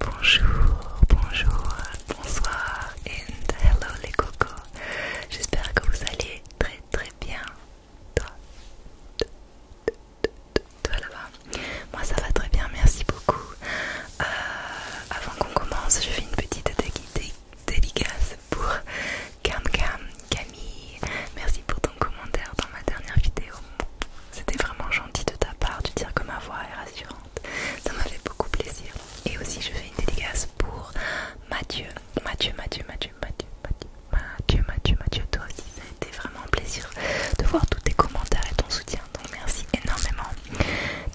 Bonjour, bonjour, bonsoir and hello les cocos. J'espère que vous allez très très bien. Toi, toi là-bas. Moi ça va très bien, merci beaucoup. Euh, avant qu'on commence, je fais une petite dédicace pour Cam Cam, Camille. Merci pour commentaire dans ma dernière vidéo. C'était vraiment gentil de ta part de dire que ma voix est rassurante. Ça m'a fait beaucoup plaisir. Et aussi, je fais une dédicace pour Mathieu. Mathieu, Mathieu, Mathieu, Mathieu, Mathieu, Mathieu, Mathieu, toi aussi. Ça a été vraiment un plaisir de voir tous tes commentaires et ton soutien. Donc, merci énormément.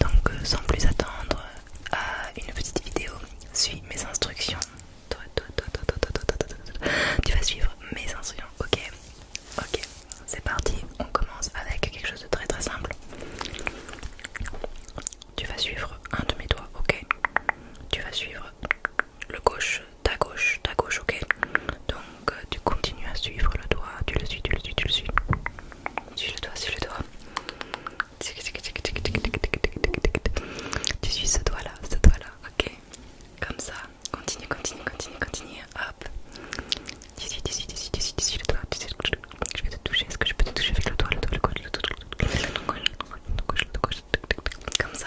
Donc, sans plus attendre, à une petite vidéo. Suis mes instructions. toi, toi, toi, toi, toi, toi, toi, toi, toi, toi. Tu vas suivre mes instructions, ok Ok. C'est parti, on commence avec quelque chose de très très simple. Tu vas suivre un de mes doigts, ok Tu vas suivre le gauche, ta gauche, ta gauche, ok Donc tu continues à suivre le doigt, tu le suis, tu le suis, tu le suis. Suis le doigt, suis le doigt. Tu suis ce doigt là, ce doigt là, ok Comme ça, Continue, continue, continue, continue. Hop. D'ici, d'ici, d'ici, d'ici, d'ici, le doigt. je vais te toucher. Est-ce que je peux te toucher avec le doigt, le doigt, le doigt, le le le comme ça.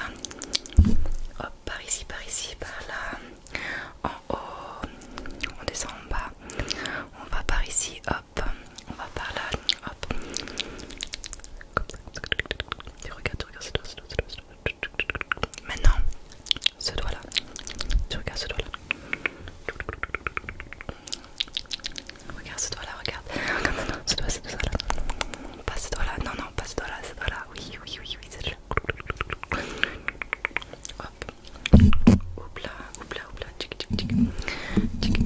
Hop, par ici, par ici, par là. En on descend en bas. On va par ici, hop. On va par là, hop. c'est Maintenant, ce doigt-là. Tu regardes ce doigt-là. Regarde ce doigt-là, regarde. non, non, ce doigt, ce doigt-là. Pas ce doigt-là, non, non, pas ce doigt-là, ce doigt-là. Oui, oui, oui, oui, c'est là. Hop. là, hop là, hop là. tik. Tik, tik, tik,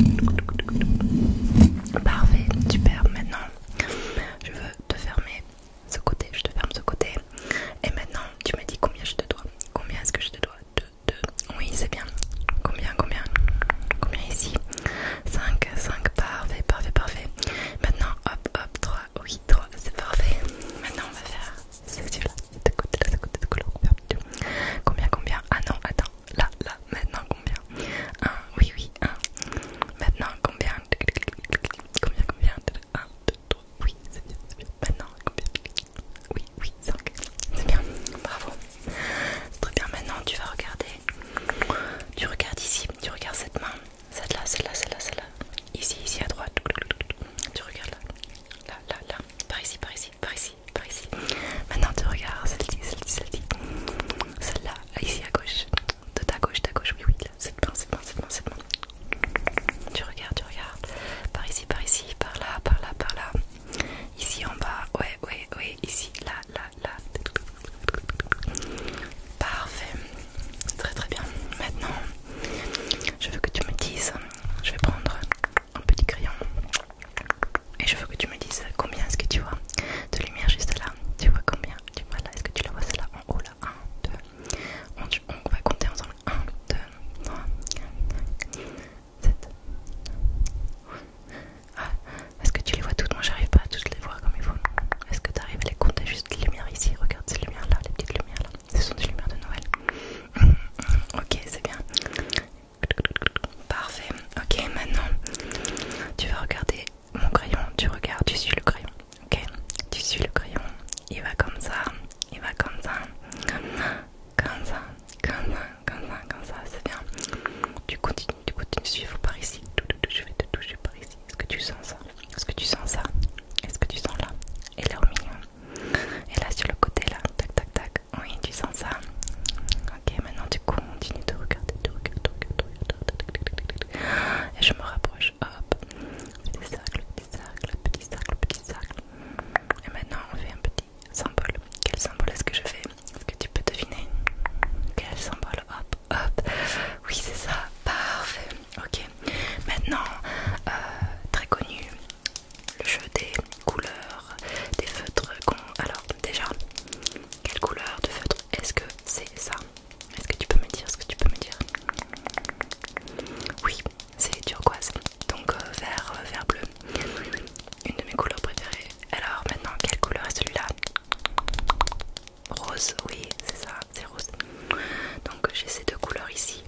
Parfait, super. Maintenant, je veux te fermer ce côté, je te ferme ce côté. Et maintenant, tu me dis combien je te dois. Combien est-ce que je te dois 2, 2. Oui, c'est bien. Combien, combien Combien ici 5, 5, parfait, parfait, parfait. Maintenant, hop, hop, 3, oui, 3, c'est parfait. Maintenant, on va faire celui-là, de côté, de côté, de côté, Combien, combien Ah non, attends, là, là, maintenant, combien 1, oui, oui, 1. Maintenant, combien Combien, combien deux, trois. Oui, c'est bien, c'est bien. Maintenant, oui, oui, ok. C'est bien, bravo. C'est très bien. Maintenant, tu vas regarder. Tu regardes ici, tu regardes cette main. Celle-là, celle-là, celle-là, celle-là. Ici, ici à droite. Tu regardes là. Là, là, là. Par ici, par ici, par ici, par ici. Maintenant, tu regardes celle-ci, celle-ci, celle-ci. Celle-là, ici à gauche. De ta gauche, ta gauche, oui, oui, cette bon, c'est bon, c'est bon, c'est bon Tu regardes, tu regardes. Par ici, par ici, par là, par là, par là. Ici en bas, ouais, ouais, ouais. Ici, là, là, là. Parfait. Très très bien. Maintenant, je veux que tu me dises, je vais prendre un petit crayon. Et je veux que tu me dises combien est-ce que tu vois de lumière juste là. Tu vois combien Tu vois là Est-ce que tu la vois celle-là en haut là 1, 2, on, va compter ensemble 1, 2, 3, 4, 5, 7. Ah, est-ce que tu les vois toutes Moi j'arrive pas à toutes les voir comme il faut. Est-ce que tu arrives à les compter Juste les lumières ici, regarde ces lumières là, les petites lumières là. Ce sont des lumières de Noël. ok, c'est bien. Parfait. Ok, maintenant tu vas regarder mon crayon, tu regardes, tu suis le crayon, ok Tu suis le crayon, il va comme ça, il va comme ça, comme ça, comme ça, comme ça, comme ça, c'est bien. Tu continues, tu continues, suivre par ici, je vais te toucher par ici. Est-ce que tu sens ça Est-ce que tu sens ça Est-ce que tu sens là Et là au milieu Et là sur le côté là, tac tac tac, oui tu sens ça. Ok, maintenant tu continues de regarder, de regarder, de regarder, de regarder. Et je me rapproche, hop, petit cercles, petit cercle, petit cercle, petit cercle. Et maintenant on fait un petit symbole. Quel symbole est-ce que je fais Est-ce que tu peux deviner Quel symbole Hop, hop. Oui c'est ça. Parfait. Ok. Maintenant, euh, très connu, le jeu des couleurs, des feutres. Alors déjà, quelle couleur de feutre est-ce que c'est ça est-ce que tu peux me dire ce que tu peux me dire Oui, c'est turquoise, donc euh, vert, euh, vert bleu. Une de mes couleurs préférées. Alors maintenant, quelle couleur est celui-là Rose, oui, c'est ça, c'est rose. Donc j'ai ces deux couleurs ici.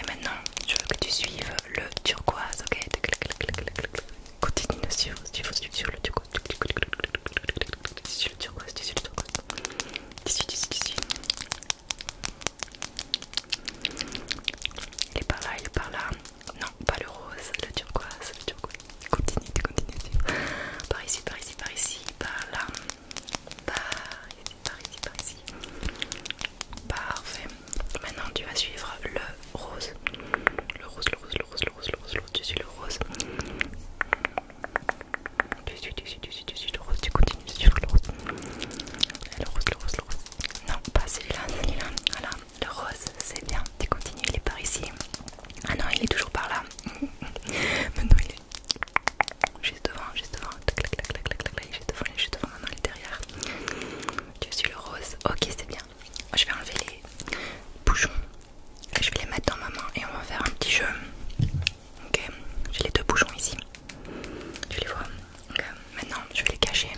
Et maintenant, je veux que tu suives le turquoise, ok Continue de suivre, suivre le turquoise suis le turquoise, suis le turquoise. suis, tu suis. Il est par là, il est par là. Non, pas le rose, le turquoise, le turquoise. Continue, continue. Par ici, par ici, par ici, par là. Par ici, par ici, par ici. Parfait. Maintenant, tu vas suivre le rose. Le rose, le rose, le rose, le rose, le rose, le rose. Tu suis le rose tu suis le rose, tu continues sur le rose. Le rose, le rose, le rose. Non, pas celui-là, celui-là. Voilà, le rose, c'est bien. Tu continues, il est par ici. Ah non, il est toujours par là. Maintenant, il est juste devant, juste devant. il est devant, devant. Maintenant, il est derrière. Tu suis le rose. Ok, c'est bien. Je vais enlever les bouchons je vais les mettre dans ma main et on va faire un petit jeu. Ok, j'ai les deux bouchons ici. Tu les vois Maintenant, je vais les cacher.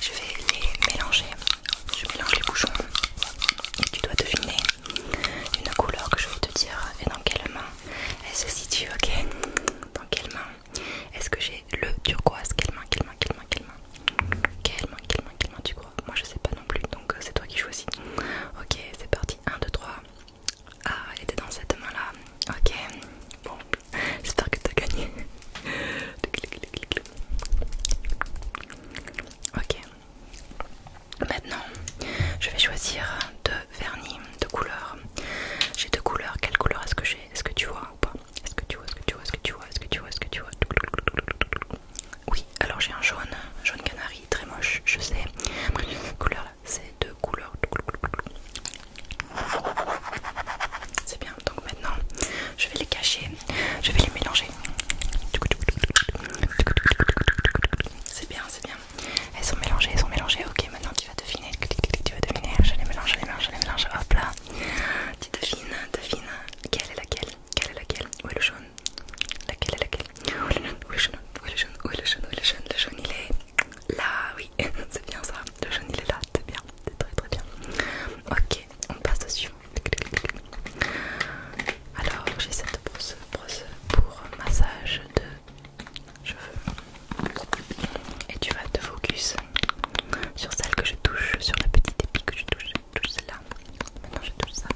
Je vais les mélanger. Je mélange les bouchons. tu dois deviner une couleur que je vais te dire et dans quelle main elle se situe. Ok Dans quelle main Est-ce que j'ai le turquoise Quelle main Quelle main Quelle main Quelle main Quelle main Quelle main Quelle main, tu crois Moi, je sais pas non plus. Donc, euh, c'est toi qui choisis. Ok, c'est parti. 1, 2, 3. Ah, elle était dans cette main là. Ok, bon, j'espère que t'as gagné. Ok, maintenant je vais choisir deux vernis, de couleurs. J'ai deux couleurs, quelle couleur est-ce que j'ai Est-ce que tu vois ou pas Est-ce que tu vois Est-ce que tu vois Est-ce que tu vois Est-ce que tu vois Est-ce que tu vois oui, alors j'ai un jaune, jaune canari, très moche, je sais. couleur c'est deux couleurs. C'est bien, donc maintenant je vais les cacher, je vais les mélanger. C'est bien, c'est bien. Elles sont mélangées, elles sont mélangées. Ok, maintenant tu vas deviner. Tu vas deviner. Je les mélange, je les mélange, je les mélange. Hop là. Tu devines, devines. Quelle est laquelle quelle est laquelle Où est le jaune Laquelle est laquelle Où est le jaune Où est le jaune Où est le jaune Où le jaune le jaune il est là, oui, c'est bien ça. Le jaune il est là, c'est bien, c'est très très bien. Ok, on passe au suivant. Alors j'ai cette brosse, brosse pour massage de cheveux. Et tu vas te focus sur celle que je touche, sur la petite épée que je touche. Touche celle-là, Maintenant je touche ça.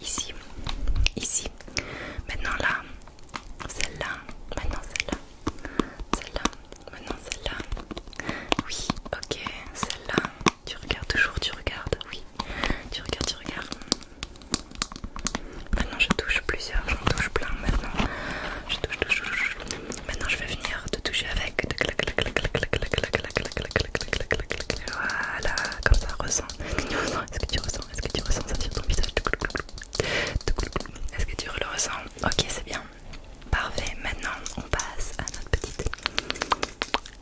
Ici. Ici. Maintenant là. Celle-là. Maintenant celle-là. Celle-là. Maintenant celle-là. Oui. Ok. Celle-là. Tu regardes toujours. Tu regardes. Oui. Tu regardes. Tu regardes. Maintenant je touche plusieurs. J'en touche plein. Maintenant. Je touche, touche, Maintenant je vais venir te toucher avec. Voilà, comme ça, ressemble est-ce que tu ressens Est-ce que tu ressens ça sur ton visage Est-ce que tu le ressens Ok, c'est bien. Parfait. Maintenant, on passe à notre petite.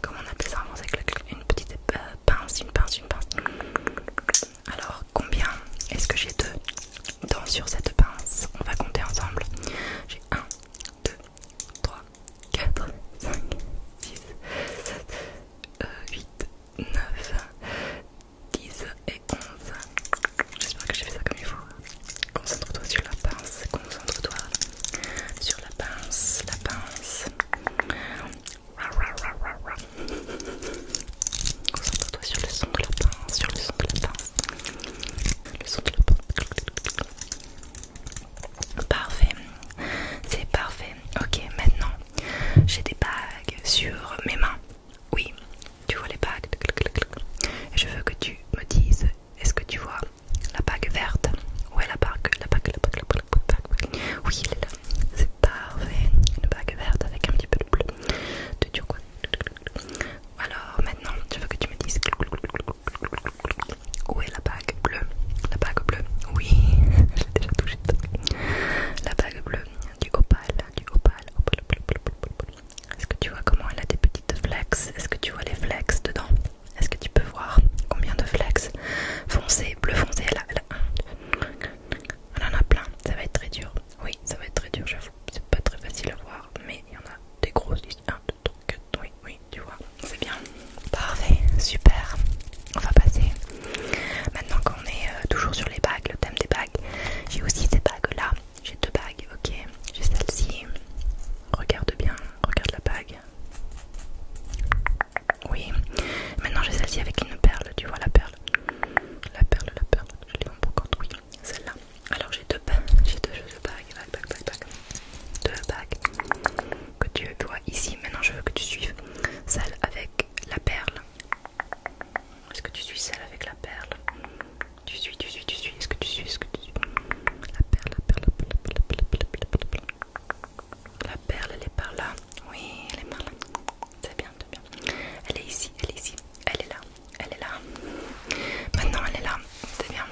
Comment on appelle ça en c'est Une petite euh, pince, une pince, une pince. Alors, combien est-ce que j'ai deux dents sur cette pince On va compter ensemble. J'ai 1, 2, 3, 4, 5, 6, 7, 8, 9, 10 et 11. J'espère que j'ai fait ça comme il faut. Concentre-toi sur la pince, concentre-toi sur la pince, la pince. Concentre-toi sur le son de la pince, sur le son de la pince. Le son de la pince. Parfait, c'est parfait. Ok, maintenant j'ai des bagues sur mes mains. Oui, tu vois les bagues. Je veux que tu me dises est-ce que tu vois la bague verte Oui, la bague La bague, la bague, Oui, elle est là. C'est parfait. Une bague verte avec un petit peu de bleu, Alors maintenant, je veux que tu me dises où est la bague bleue La bague bleue, oui, je La bague bleue du opale, du opale. opale, Est-ce que tu vois comment elle a des petites flex Est-ce que tu vois les flex dedans Est-ce que tu peux voir combien de flex Foncé, bleu foncé, elle a, en a plein, ça va être très dur. Oui, ça va être très dur, j'avoue. C'est pas très facile à voir, mais il y en a des grosses. 1, 2, 3, oui, oui, tu vois, c'est bien. Parfait, super. On va passer. Maintenant qu'on est euh, toujours sur les bagues, le thème des bagues, j'ai aussi ces bagues là. J'ai deux bagues, ok. J'ai celle-ci. Regarde bien, regarde la bague. Oui. Maintenant j'ai celle-ci avec une perle, tu vois la perle. La perle, la perle, je l'ai en oui. Celle-là. Alors j'ai deux, j'ai deux bagues, bagues. Deux bagues que tu vois ici. Maintenant, je veux que tu suives celle avec la perle. Est-ce que tu suis celle avec la perle Tu suis, tu suis, tu suis. Est-ce que tu suis, est-ce que tu suis La perle, la perle, la perle, la perle, elle est par là. Oui, elle est par là. C'est bien, c'est bien. Elle est ici, elle est ici. Elle est là, elle est là. Maintenant, elle est là. C'est bien.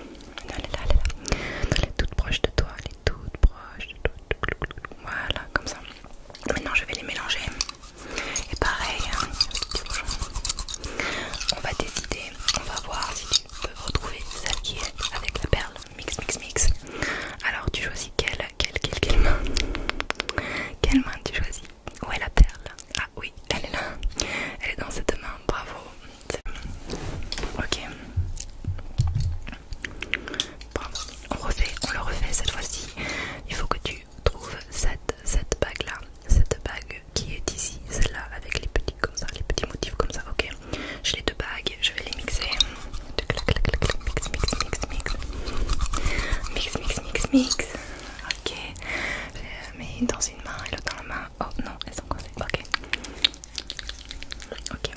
Elle est là, elle est là. Elle est toute proche de toi. Elle est toute proche de toi. Voilà, comme ça. Maintenant, je vais les mélanger. Et pareil, hein, on va décider, on va voir si tu peux retrouver celle qui est avec la perle. Mix, mix, mix. Alors, tu choisis quelle, quelle, quelle, quelle main Quelle main tu choisis Où est la perle Ah oui, elle est là. Elle est dans cette main, bravo. Ok. On refait, on le refait cette fois-ci. Il faut que tu trouves cette, cette bague là, cette bague qui est ici, celle-là avec les petits comme ça, les petits motifs comme ça. Ok. J'ai les deux bagues, je vais les mixer. Mix, mix, mix, mix, mix, mix, mix, mix. Ok. Je les mets dans une main et l'autre dans la main. Oh non, elles sont coincées. Ok. Ok.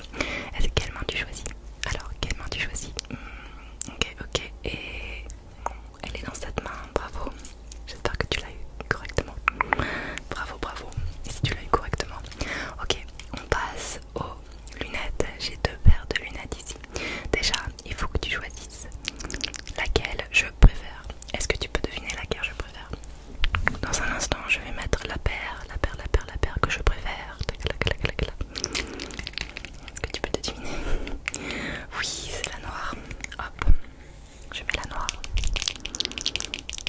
quelle main tu choisis Alors, quelle main tu choisis hmm, Ok, ok. Et elle est dans cette main. Bravo. J'espère que tu l'as eu correctement. Bravo, bravo. si tu l'as eu correctement. Ok, on passe aux lunettes. J'ai deux paires de lunettes ici. Déjà, il faut que tu choisisses laquelle je préfère. Est-ce que tu peux deviner laquelle je préfère dans un instant, je vais mettre la paire, la paire, la paire, la paire que je préfère. Est-ce que tu peux te deviner Oui, c'est la noire. Hop, je mets la noire.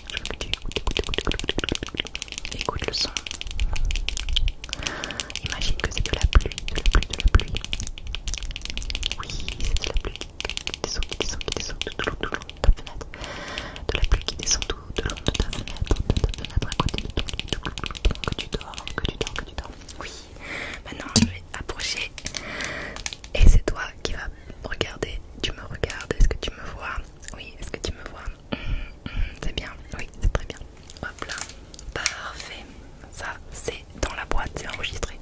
Je veux que tu écoutes, écoutes, écoutes, écoutes, le son. Imagine que c'est de la pluie, de la pluie, de la pluie. Oui, c'est de la pluie qui descend, qui descend, qui descend de ta fenêtre. De la pluie qui descend de ta côté que tu dors, que tu dors, que tu dors. Oui, maintenant je vais approcher et c'est toi qui va regarder. Tu me regardes, est-ce que tu me vois Oui, est-ce que tu me vois hum, hum, C'est bien, oui, c'est très bien. Hop là, parfait. Ça, c'est dans la boîte, c'est enregistré.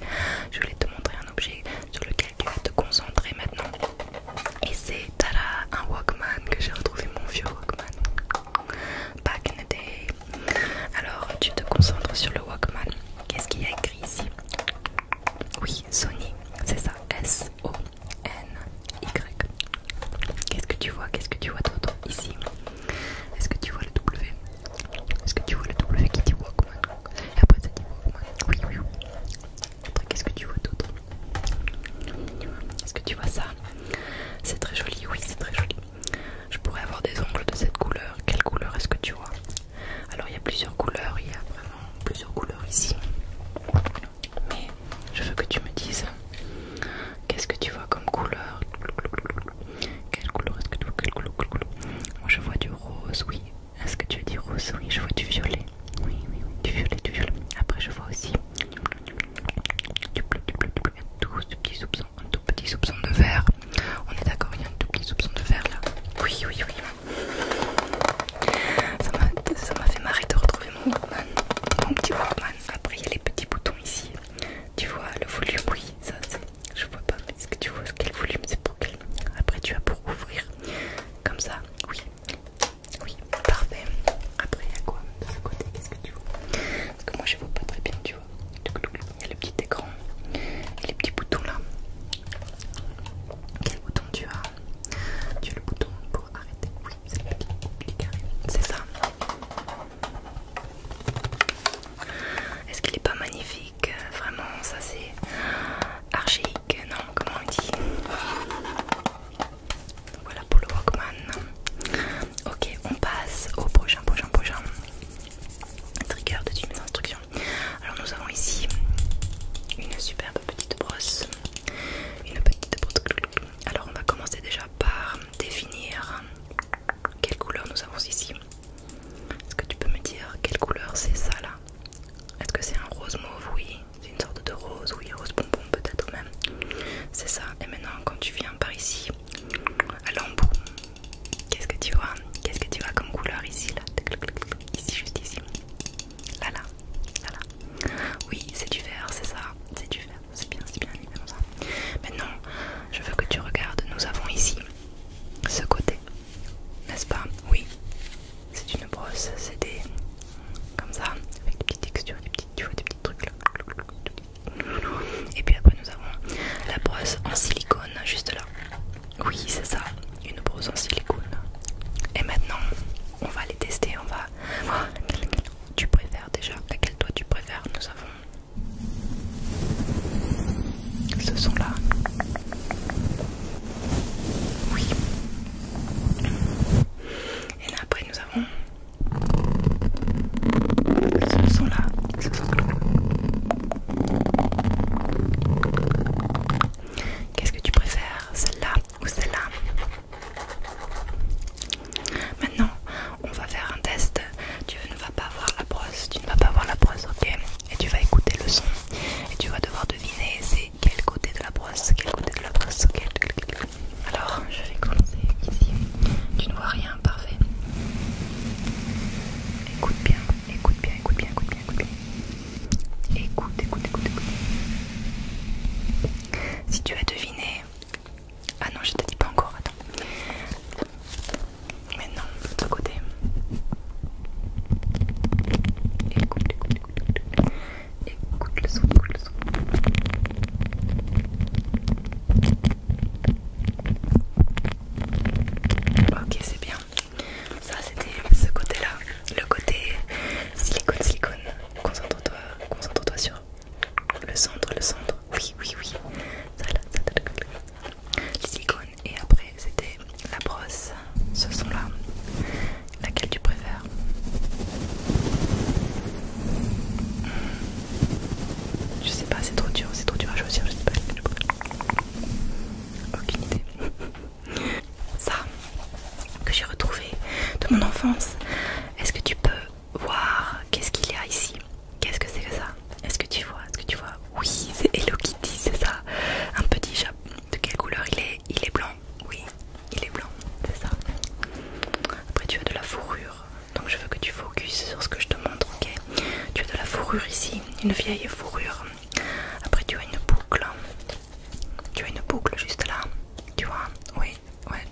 Je voulais te montrer un objet sur lequel tu vas te concentrer maintenant. Et c'est tada, un Walkman que j'ai retrouvé, mon vieux Walkman. Back in the day. Alors, tu te concentres sur le Walkman. Qu'est-ce qu'il y a écrit ici Oui, Sony, c'est ça. S-O-N-Y. Qu'est-ce que tu vois Qu'est-ce que tu vois, d'autre Ici. Est-ce que tu vois le W Est-ce que tu vois le W qui dit Walkman Et après, ça dit Walkman. Oui, oui, oui qu'est-ce que tu vois d'autre Est-ce que tu vois ça C'est très joli, oui, c'est très joli. Je pourrais avoir des ongles de cette couleur. Quelle couleur est-ce que tu vois Alors, il y a plusieurs couleurs, il y a vraiment plusieurs couleurs ici. Mais je veux que tu me dises qu'est-ce que tu vois comme couleur Quelle couleur est-ce que tu vois Moi, je vois du rose, oui. Est-ce que tu veux dire rose Oui, je vois du violet. Oui, oui, du violet, du violet. Après, je vois aussi du bleu, du bleu, du bleu. Tout ce petit soupçon, un tout petit soupçon de vert. On est d'accord, il y a un tout petit soupçon de vert là. Oui, oui, oui. Ça m'a fait marrer de retrouver mon workman, Mon petit workman. Après, il y a les petits boutons ici. Tu vois le volume, oui, ça Je vois pas. Est-ce que tu vois ce le volume c'est pour quel Après, tu as pour ouvrir comme ça, oui. Oui, parfait. Après, il y a quoi de ce côté Qu'est-ce que tu vois Parce que moi je vois pas très bien, tu vois. Il y a le petit écran a les petits boutons là. Quel bouton tu as Tu as le bouton pour arrêter. Oui, c'est le petit C'est ça. Est-ce qu'il est pas magnifique Vraiment, ça c'est archaïque, non comment on dit voilà pour le Walkman. Ok, on passe au prochain, prochain, prochain trigger de toutes Alors nous avons ici une superbe petite brosse, une petite brosse. Alors on va commencer déjà par définir quelle couleur nous avons ici. Est-ce que tu peux me dire quelle couleur c'est ça là Est-ce que c'est un rose mauve Oui. C'est une sorte de rose, oui, rose bonbon peut-être même. C'est ça. Et maintenant, quand tu viens par ici, à l'embout, qu'est-ce que tu vois Qu'est-ce que tu vois comme couleur ici, là Ici, juste ici. Là, là, Oui, c'est du vert, c'est ça. C'est du vert. C'est bien, c'est bien, comme ça. Maintenant, je veux que tu regardes. Nous avons ici ce côté, n'est-ce pas Oui, c'est une brosse, c'est comme ça, avec des petites textures, des petites, des petits trucs là. Et puis après, nous avons la brosse en silicone, juste là. Oui, c'est ça, une brosse en silicone. Et maintenant, on va les tester. On va. laquelle oh, tu préfères déjà Laquelle toi tu préfères Nous avons ce sont là. Oui. Et là après nous avons ce son là. Qu'est-ce que tu préfères, celle-là ou celle-là Maintenant, on va faire un test. Tu ne vas pas voir la brosse, tu ne vas pas voir la brosse, ok Et tu vas écouter le son et tu vas devoir deviner quel côté de la brosse, quel côté de la brosse, Alors, je vais commencer ici. Tu ne vois rien, parfait. Écoute bien, écoute bien, écoute bien, écoute bien, écoute Écoute, écoute, écoute, Si tu as deviné... Ah non, je te dis pas encore, attends. Maintenant, de l'autre côté. Écoute, écoute. Écoute le son, écoute le son. Ok, c'est bien. Ça, c'était ce côté-là. Le côté silicone, silicone. Concentre-toi, concentre-toi sur le centre, le centre. Oui, oui, oui. Ça, Le silicone. Et après, c'était la brosse, ce son là. Laquelle tu préfères Je sais pas, c'est trop dur, c'est trop dur à choisir, je sais pas Aucune idée. Ça que j'ai retrouvé de mon enfance. Est-ce que tu peux voir qu'est-ce qu'il y a ici Qu'est-ce que c'est que ça Est-ce que tu vois Est-ce que tu vois Oui, c'est Hello Kitty, c'est ça. Un petit chap, De quelle couleur il est il est blanc, oui, il est blanc, c'est ça. Après tu as de la fourrure, donc je veux que tu focuses sur ce que je te montre, ok Tu as de la fourrure ici, une vieille fourrure. Après tu as une boucle, tu as une boucle juste là, tu vois Oui, ouais.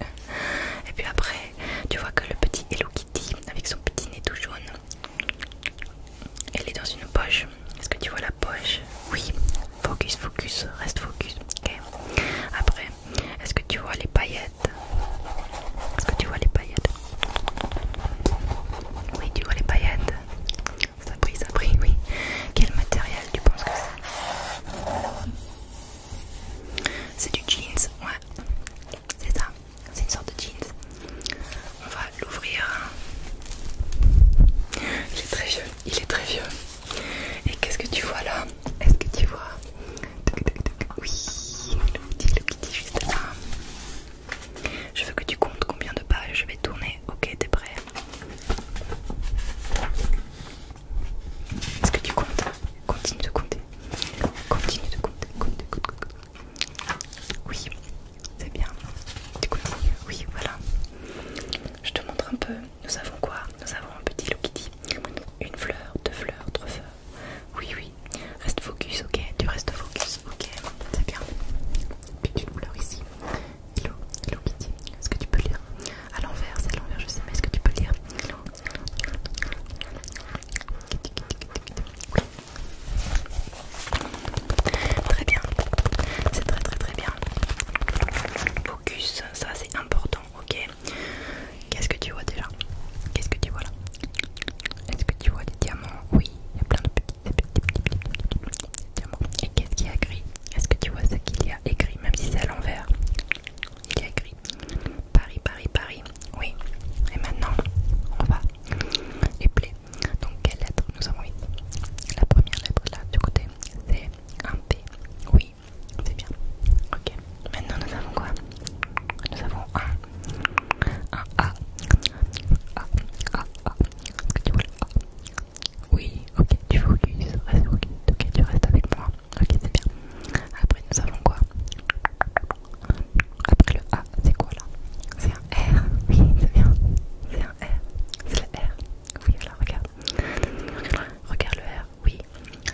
Et puis après, tu vois que le petit Hello Kitty avec son petit nez tout jaune, elle est dans une poche est-ce que tu vois la poche Oui. Focus, focus, reste focus. Ok. Après, est-ce que tu vois les paillettes Est-ce que tu vois les paillettes Oui, tu vois les paillettes. Ça brille, ça brille, oui. Quel matériel tu penses que c'est C'est du jeans, ouais. C'est ça. C'est une sorte de jeans on va l'ouvrir. Il est très vieux, il est très vieux. Et qu'est-ce que tu vois là Est-ce que tu vois Oui, le petit, le petit juste là. Je veux que tu comptes combien de pages je vais tourner. Ok, t'es prêt Est-ce que tu comptes Continue de compter. Continue de compter. Compte, compte, compte. Oui, c'est bien. Du coup, oui, voilà. Je te montre un peu. Nous avons quoi Nous avons un petit lokiti. Une fleur, deux fleurs, trois fleurs. Oui, oui. Reste focus, ok Tu restes focus, ok C'est bien. Puis tu couleur ici. Hello, hello Est-ce que tu peux lire À l'envers, c'est à l'envers, je sais, mais est-ce que tu peux lire Très bien, c'est très très très bien. Focus, ça c'est important, ok Qu'est-ce que tu vois déjà Qu'est-ce que tu vois là Est-ce que tu vois des diamants Oui, il y a plein de petits, petits, petits, petits, diamants. Et qu'est-ce qu'il y a écrit Est-ce que tu vois ce qu'il y a écrit, même si c'est à l'envers Il y a écrit Paris, Paris, Paris. Oui. Et maintenant, on va épeler donc, quelle lettre nous avons oui La première lettre là du côté, c'est un T Oui, c'est bien. Ok. Maintenant, nous avons quoi Nous avons un, A. A, A, A. Est-ce que tu vois le A Oui, ok, tu focus, Reste tu restes avec moi. Ok, c'est bien. Après, nous avons quoi après le A, c'est quoi là C'est un R, oui, c'est bien. C'est le R. Oui, voilà, regarde. Regarde le R, oui.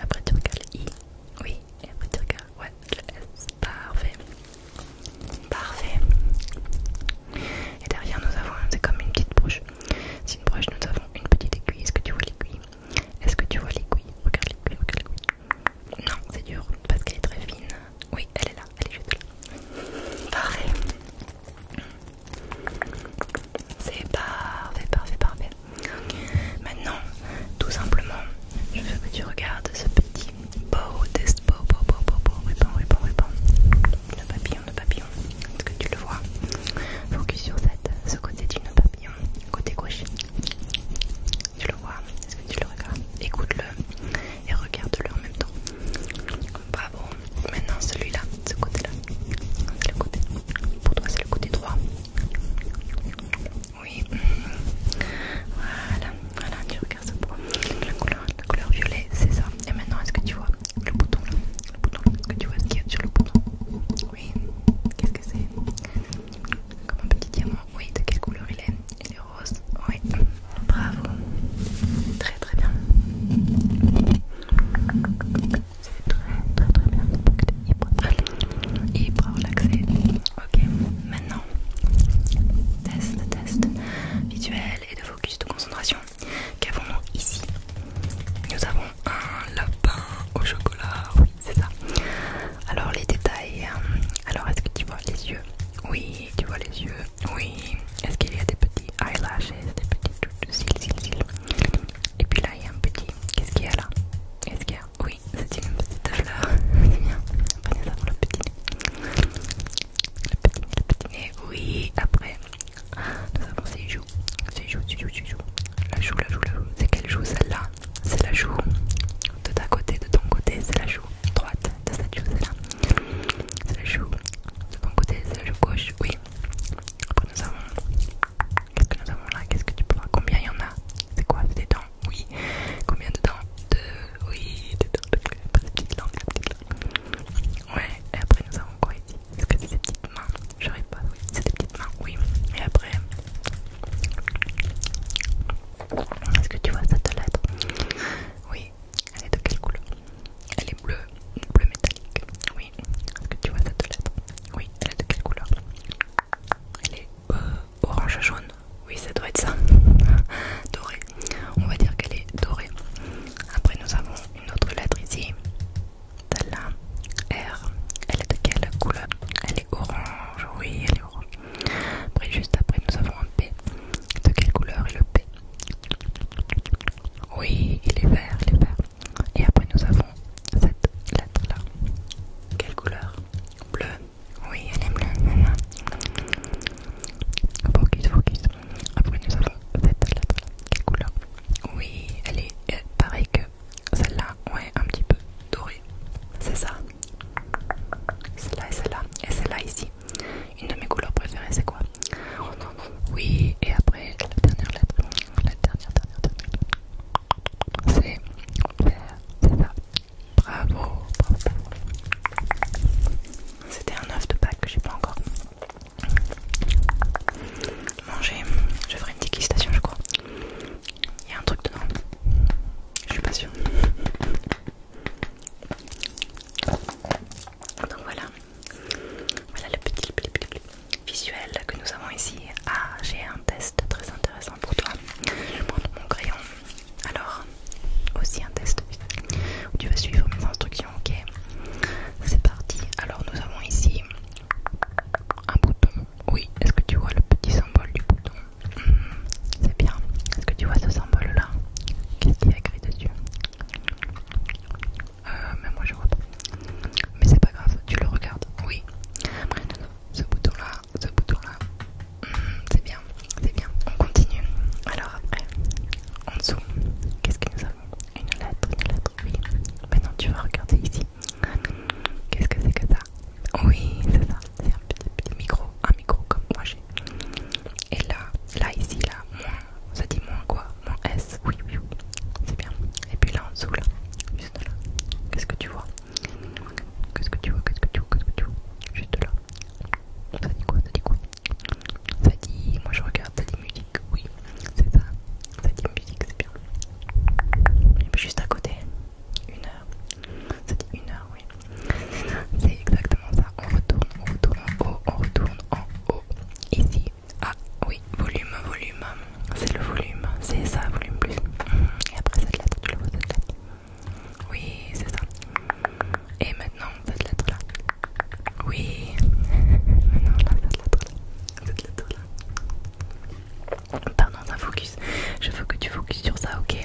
Après tu regardes le I, oui. Et après tu regardes, le S. Parfait. Parfait. Et derrière nous avons, c'est comme une petite broche. C'est une broche, nous avons une petite aiguille. Est-ce que tu vois l'aiguille Est-ce que tu vois l'aiguille Regarde l'aiguille, regarde l'aiguille. Non, c'est dur parce qu'elle est très fine. Oui, elle est là, elle est juste là. Parfait. C'est parfait, parfait, parfait. Maintenant, tout simplement, je veux que tu regardes ce petit beau test, beau, beau, beau, beau, beau, le papillon, le papillon. Est-ce que tu le vois Focus sur cette, ce côté du papillon, côté gauche. Tu le vois Est-ce que tu le regardes Écoute-le et regarde-le en même temps. Bravo. Maintenant celui-là, ce côté-là. C'est le côté. Pour toi, c'est le côté droit. Oui. Voilà, voilà, tu regardes ce point. La couleur, la couleur violet, c'est ça. Et maintenant, est-ce que tu vois le bouton là Le bouton est-ce que tu vois ce qu'il y a sur le bouton Oui. Qu'est-ce que c'est Comme un petit diamant. Oui, de quelle couleur il est oui, bravo. Très très bien. C'est très très très bien. Hyper relaxé. Ok, maintenant, test, test visuel et de focus de concentration. Qu'avons-nous ici Nous avons un lapin au chocolat. Oui, c'est ça. Alors les détails. Euh, alors est-ce que tu vois les yeux Oui, tu vois les yeux oui, est-ce qu'il y a des petits eyelashes, des petits cils, cils, cils Et puis là, il y a un petit. Qu'est-ce qu'il y a là est ce qu'il y a Oui, c'est une petite fleur. C'est bien. Prenez ça pour le petit nez. Le petit nez, le petit nez. Oui, après, nous avons ces joue Ces joues, ces joues, ces joues. La joue, la joue, la joue. C'est quelle joue celle-là C'est la joue de ta côté, de ton côté, c'est la joue droite de cette joue, là c'est le joue de bon côté, c'est le gauche, oui. Après nous avons... Qu'est-ce que nous avons là Qu'est-ce que tu peux voir Combien il y en a C'est quoi C'est des dents Oui. Combien de dents Deux. Oui, des dents. petites langues, des petites langues. Ouais, et après nous avons quoi ici Est-ce que c'est des petites mains J'arrive pas, oui. C'est des petites mains, oui. Et après... Est-ce que tu vois cette lettre Oui, elle est de quelle couleur Elle est bleue, bleu métallique. Oui, est-ce que tu vois cette lettre Oui, elle est de quelle couleur Elle est euh, orange jaune. Oui, ça doit être ça. dorée. On va dire qu'elle est dorée. Après, nous avons une autre lettre ici. de la R. Elle est de quelle couleur Elle est orange. Oui, elle est orange. Après, juste après, nous avons un P. De quelle couleur est le P oui, il est vert, il est vert. Et après nous avons cette lettre là. Quelle couleur Bleu. Oui, elle est bleue. Focus, focus. Après nous avons cette lettre là. Quelle couleur Oui, elle est euh, pareille que celle-là. Ouais, un petit peu dorée. C'est ça. Celle-là et celle-là. Et celle-là ici. Une de mes couleurs préférées, c'est quoi Oui, et après, la dernière lettre. La dernière, dernière, dernière. C'est. C'est ça. Bravo, C'était un œuf de Pâques que j'ai pas encore mangé. Je ferai une dégustation, je crois. Il y a un truc dedans. Je suis pas sûre. Donc voilà, voilà le petit, visuel que nous avons ici. Ah, j'ai un test très intéressant pour toi. Je prends mon crayon. Alors, aussi un test. tu vas suivre mes instructions, ok C'est parti. Alors, nous avons ici un bouton. Oui, est-ce que tu vois le petit symbole du bouton hmm, C'est bien. Est-ce que tu vois ce symbole là Qu'est-ce qu'il y a écrit dessus euh, moi je vois pas. Mais c'est pas grave, tu le regardes. Oui. ce bouton là, ce bouton là. Hmm, c'est bien, c'est bien. On continue. Alors après, en dessous, qu'est-ce que nous avons Une lettre, une lettre, oui. Maintenant tu vas regarder ici. Qu'est-ce que c'est que ça Oui, c'est ça. C'est un petit, micro. Un micro comme moi j'ai. Et là, là, ici, là, moins, ça dit moins quoi Moins S, oui, oui, c'est bien. Et puis là en dessous, là, juste là, qu'est-ce que tu vois Qu'est-ce que tu vois Qu'est-ce que tu vois Qu'est-ce que tu vois Juste là. Ça dit quoi Ça dit quoi Ça dit, moi je regarde, ça dit musique, oui, c'est ça. Ça dit musique, c'est bien. Et puis juste à côté, une heure. Ça dit une heure. C'est exactement ça. On retourne, on retourne en haut, on retourne en haut. Ici. Ah oui, volume, volume. C'est le volume. C'est ça, volume plus. Et après cette lettre, tu le vois cette lettre. Oui, c'est ça. Et maintenant, cette lettre là. Oui. Maintenant, là, cette lettre là. Cette lettre là. Pardon, ça focus. Je veux que tu focuses sur ça, ok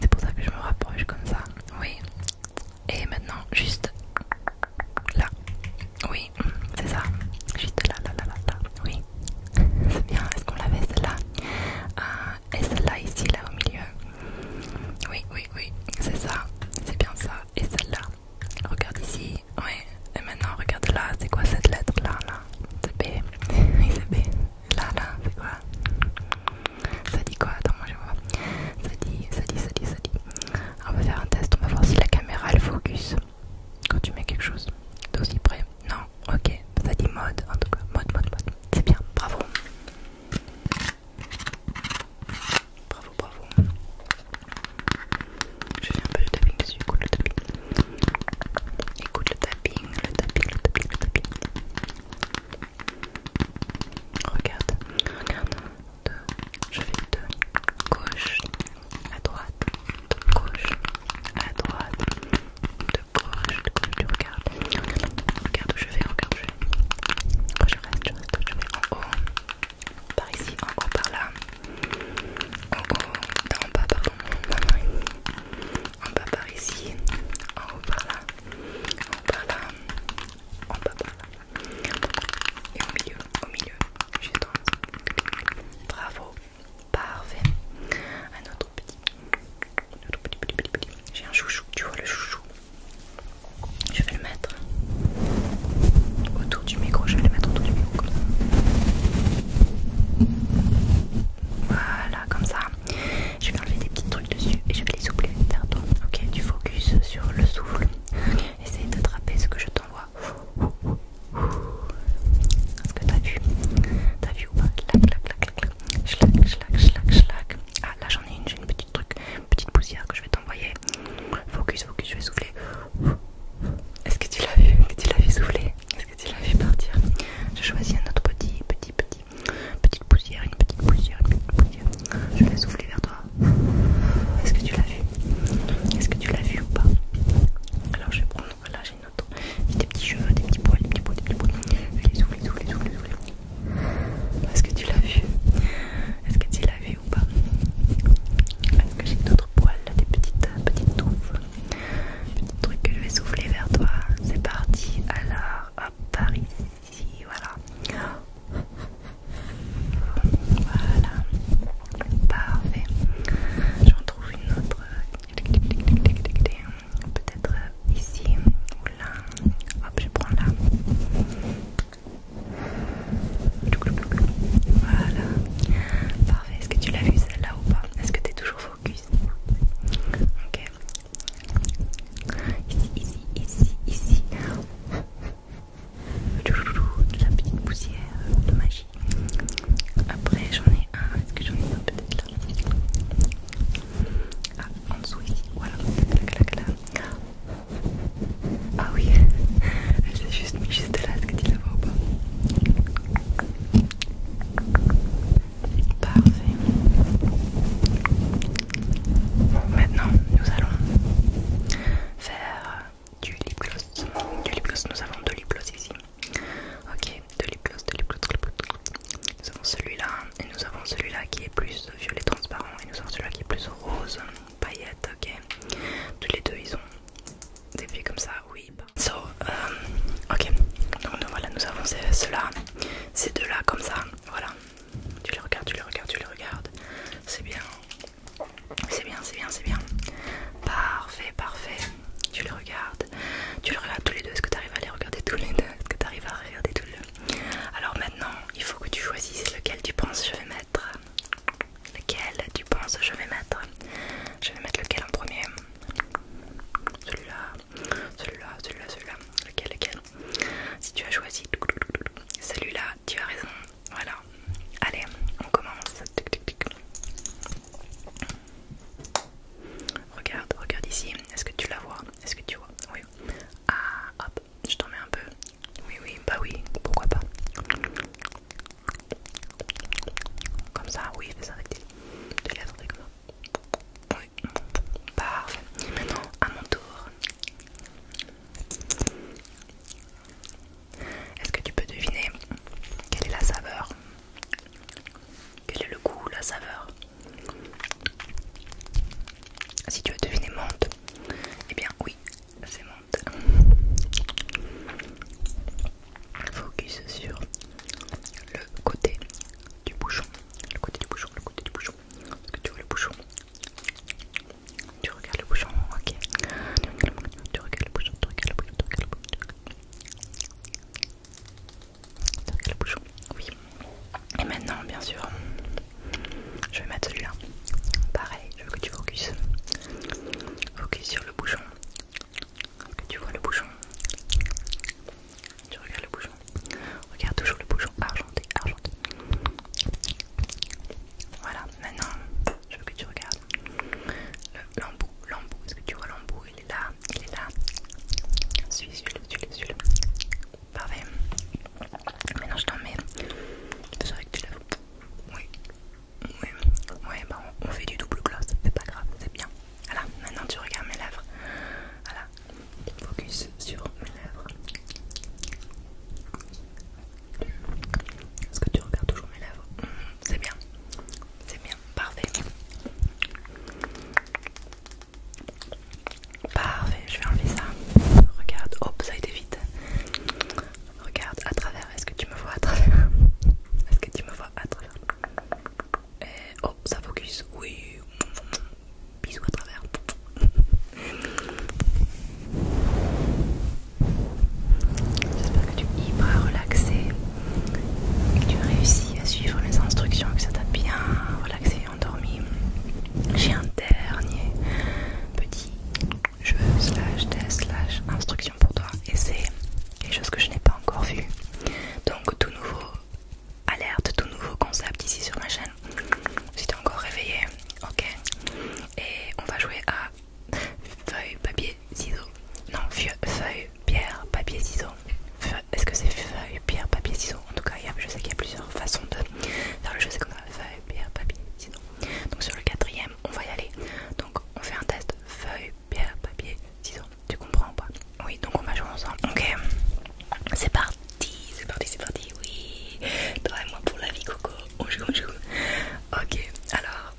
C'est pour ça que je me rapproche comme ça. Oui. Et maintenant, juste là. Oui, c'est ça. Juste là, là, là, là, là. Oui. C'est bien. Est-ce qu'on l'avait celle-là euh, Et celle-là ici, là au milieu. Oui, oui, oui. C'est ça. C'est bien ça. Et celle-là. Regarde ici. Oui. Et maintenant, regarde là. C'est quoi cette lettre là, là C'est B. Oui, c'est B. Là, là, c'est quoi ça dit quoi Attends, moi je vois. Ça dit, ça dit, ça dit, ça dit. on va faire un test, on va voir si la caméra elle focus quand tu mets quelque chose d'aussi près. Non, ok, ça dit mode en tout cas. Mode, mode, mode. C'est bien, bravo. Bravo, bravo. Je fais un peu de tapping dessus, écoute le tapping. Écoute le tapping, le tapping, le tapping, le tapping. Regarde, regarde. je vais de gauche à droite, de gauche à droite, de gauche, de gauche. Tu regardes, regarde, regarde où je vais, regarde où je vais. Je reste, je reste. Je vais en haut, par ici, en haut, par là. En haut, en bas, pardon. Non, en bas par ici, en haut par là, en haut par là, en bas Et au milieu, au milieu, j'ai Bravo, parfait. Un autre petit, un autre petit, petit, petit, petit. J'ai un chouchou, tu vois le chouchou. Je vais le mettre autour du micro, je vais le mettre autour du micro comme ça. Voilà, comme ça. Je vais enlever des petits trucs dessus et je vais les souffler d'accord Ok, tu focus sur le souffle. Essaye d'attraper ce que je t'envoie. Est-ce que t'as vu T'as vu ou pas Clac, clac, clac, clac. Ah là j'en ai une, j'ai une petite truc, une petite poussière que je vais t'envoyer. Focus, focus, je vais souffler. Est-ce que tu l'as vu Est-ce que tu l'as vu souffler Est-ce que tu l'as vu partir Je choisis un autre petit, petit, petit. Petite poussière, une petite poussière, une petite poussière. Je vais souffler vers toi. Est-ce que tu l'as vu Est-ce que tu l'as vu ou pas Alors je vais prendre. Là j'ai une autre. Des petits cheveux, des petits poils, des petits poils, des petits poils. Je vais souffler, souffler souffler, souffler. Est-ce que tu l'as vu Est-ce que tu l'as vu ou pas Est-ce que j'ai d'autres poils, des petites, petites touffes petits truc que je vais souffler vers toi. C'est parti. Alors, hop, Paris ici, voilà. Voilà, parfait. J'en trouve une autre. Peut-être euh, ici ou là. Hop, je prends là. Voilà, parfait. Est-ce que tu l'as vu celle-là ou pas Est-ce que tu es toujours focus Ok, Ici, ici, ici, ici. De la petite poussière de magie. Après, j'en ai un. Est-ce que j'en ai un peut-être là Ah, en dessous ici. Voilà. Clac, là, Ah oui, elle s'est juste mis juste là. Est-ce que tu la vois ou pas Parfait. Maintenant, nous allons faire du lip gloss. Du lip nous avons deux lip gloss ici. Ok, deux lip gloss, deux lip gloss, lip gloss. Nous avons celui-là et nous avons celui-là qui est plus violet transparent et nous avons celui-là qui est plus rose paillette. Ok, tous les deux ils ont des pieds comme ça. Oui. Bah. So, euh, ok. Donc nous, voilà, nous avons ceux-là, ces deux-là comme ça. Voilà. Tu les regardes, tu les regardes, tu les regardes. C'est bien. C'est bien, c'est bien, c'est bien. Parfait, parfait. Tu les regardes. Tu les regardes tous les deux. Est-ce que tu arrives à les regarder tous les deux Est-ce que tu arrives à regarder tous les deux Alors maintenant, il faut que tu choisisses lequel tu penses je vais mettre. Lequel tu penses je vais mettre Je vais mettre lequel en premier Celui-là. Celui-là, celui-là, celui-là. Lequel, lequel Si tu as choisi celui-là, tu as raison. Voilà. Allez, on commence. Regarde, regarde ici. Est-ce que tu la vois Est-ce que tu vois Oui. Ah, hop, je t'en mets un peu. Oui, oui, bah oui, pourquoi pas Comme ça, oui, fais ça avec tes, la comme ça. Parfait. Maintenant, à mon tour. Est-ce que tu peux deviner quelle est la saveur Quel est le goût, la saveur Si tu veux deviner monte, et eh bien oui, c'est menthe. Focus sur le côté du bouchon. Le côté du bouchon, le côté du bouchon. Est-ce que tu vois le bouchon Tu regardes le bouchon, ok Tu regardes le bouchon, tu regardes le bouchon, tu regardes le bouchon Tu regardes le bouchon, oui Et maintenant, bien sûr, je vais mettre celui-là Pareil, je veux que tu focuses Focus sur le bouchon que tu vois le bouchon tu regardes le bouchon. Regarde toujours le bouchon argenté, argenté. Voilà, maintenant je veux que tu regardes l'embout, l'embout. Est-ce que tu vois l'embout Il est là, il est là. Suis, suis-le, suis-le, suis-le. Parfait. Maintenant je t'en mets. C'est vrai que tu l'as. Oui. Oui, ouais, bah on, fait du double gloss, c'est pas grave, c'est bien. Voilà, maintenant tu regardes mes lèvres. Voilà, focus sur mes lèvres. Est-ce que tu regardes toujours mes lèvres mm, C'est bien, c'est bien, parfait. Parfait, je vais enlever ça. Regarde, hop, ça a été vite. Regarde à travers, est-ce que tu me vois à travers Est-ce que tu me vois à travers Et hop, ça focus, oui. Bisous à travers. J'espère que tu es hyper relaxé et que tu réussis à suivre mes instructions, que ça t'a bien relaxé et endormi. J'ai un dernier petit jeu slash test slash instruction pour toi et c'est quelque chose que je n'ai pas encore vu. Donc tout nouveau alerte, tout nouveau concept ici sur ma chaîne. Si t'es encore réveillé, ok. Et on va jouer à feuille, papier, ciseaux. Non, feuille, pierre, papier, ciseaux. Est-ce que c'est feuille, pierre, papier, ciseaux En tout cas, je sais qu'il y a plusieurs façons de faire le jeu. C'est comme ça feuille, pierre, papier, ciseaux. Donc sur le quatrième, on va y aller. Donc on fait un test feuille, pierre, papier, ciseaux. Tu comprends ou pas Oui, donc on va jouer ensemble. Ok, c'est parti, c'est parti, c'est parti. Oui, toi et moi pour la vie, Coco. On joue, on joue. Ok, alors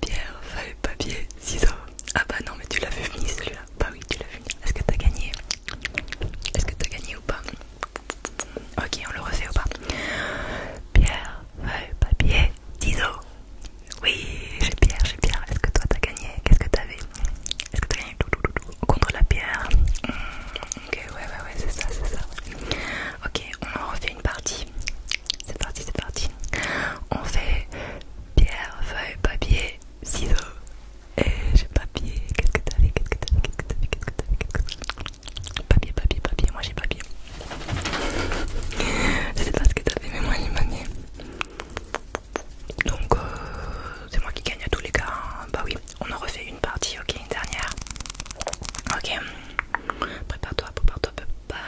pierre, feuille, papier, ciseaux. Ah bah non, mais tu l'as vu fini celui-là. Bah oui, tu l'as vu Est-ce que t'as gagné Est-ce que t'as gagné ou pas Ok, on le refait ou pas Pierre, feuille, papier, ciseaux. Oui, j'ai Pierre, j'ai Pierre. Est-ce que toi t'as gagné Qu'est-ce que t'avais est-ce que t'as tout contre la pierre hmm, Ok, ouais, ouais, ouais, c'est ça, c'est ça. Ok, on en refait une partie. C'est parti, c'est parti. On fait pierre, feuille, papier, ciseaux. Et j'ai papier. Qu'est-ce que t'as fait Qu'est-ce que t'as fait Qu'est-ce que t'as Papier, papier, papier. Moi j'ai papier. Je sais pas ce que t'as fait, mais moi j'ai papier. Donc euh, c'est moi qui gagne à tous les cas. Hein. Bah oui, on en refait une partie, ok, une dernière. Ok, prépare-toi, prépare-toi, prépare.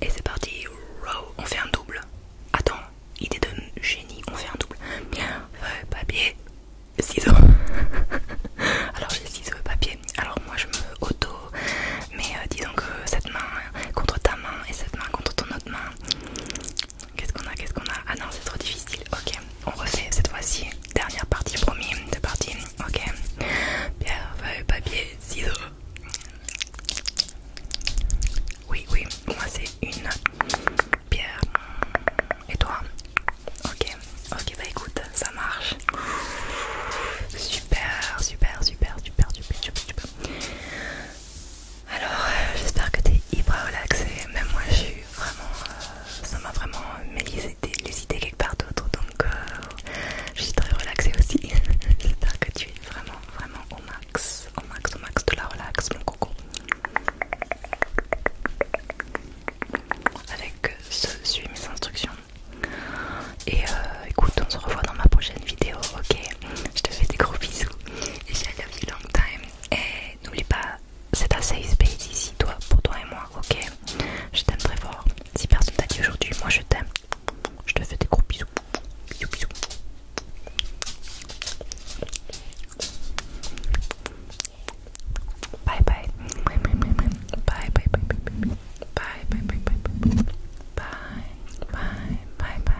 Et c'est parti, on fait un double. Attends, idée de génie, on fait un double. Bien, papier, ciseaux. Alors j'ai ciseaux papier. Alors moi je me auto, mais euh, disons que cette main contre ta main et cette main contre ton autre main Qu'est-ce qu'on a Qu'est-ce qu'on a Ah non, c'est trop difficile. Ok, on refait cette fois-ci. Dernière partie, promis. Deux parties. Ok. Pierre, feuille, papier, ciseaux. Oui, oui. Moi, c'est une pierre. Et toi Ok. Ok, bah écoute, ça marche. Super, super, super, super, super, super, super. Alors, euh, j'espère que tu es hyper relaxé. Même moi, j'ai vraiment. Euh, ça m'a vraiment mis les idées quelque part d'autre. Donc, je suis très relaxée aussi. j'espère que tu es vraiment, vraiment au max. Au max, au max de la relax, mon coco. Avec ce, suis mes instructions. Et euh, écoute, on se revoit dans ma prochaine vidéo, ok Je te fais des gros bisous. Et je you long time. Et n'oublie pas, c'est un safe space ici, toi, pour toi et moi, ok Je t'aime très fort. Si personne t'a dit aujourd'hui, moi je t'aime. Je te fais des gros bisous. Bisous, bisous. Bye bye. Bye bye bye bye bye bye bye bye Bye. Bye. Bye. Bye.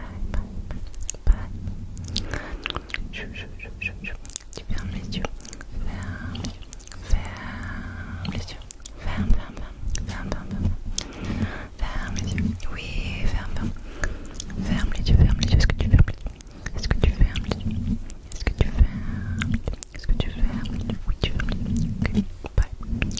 Bye. Bye. Je, Tu fermes les yeux. Ferme. les yeux. Ferme, ferme, ferme. Ferme, ferme, ferme. Ferme les yeux. Oui, ferme, ferme. Ferme les yeux, ferme les yeux. Est-ce que tu fermes les yeux Est-ce que tu fermes les yeux Est-ce que tu fermes Est-ce que tu fermes Oui, tu fermes les yeux. Bye.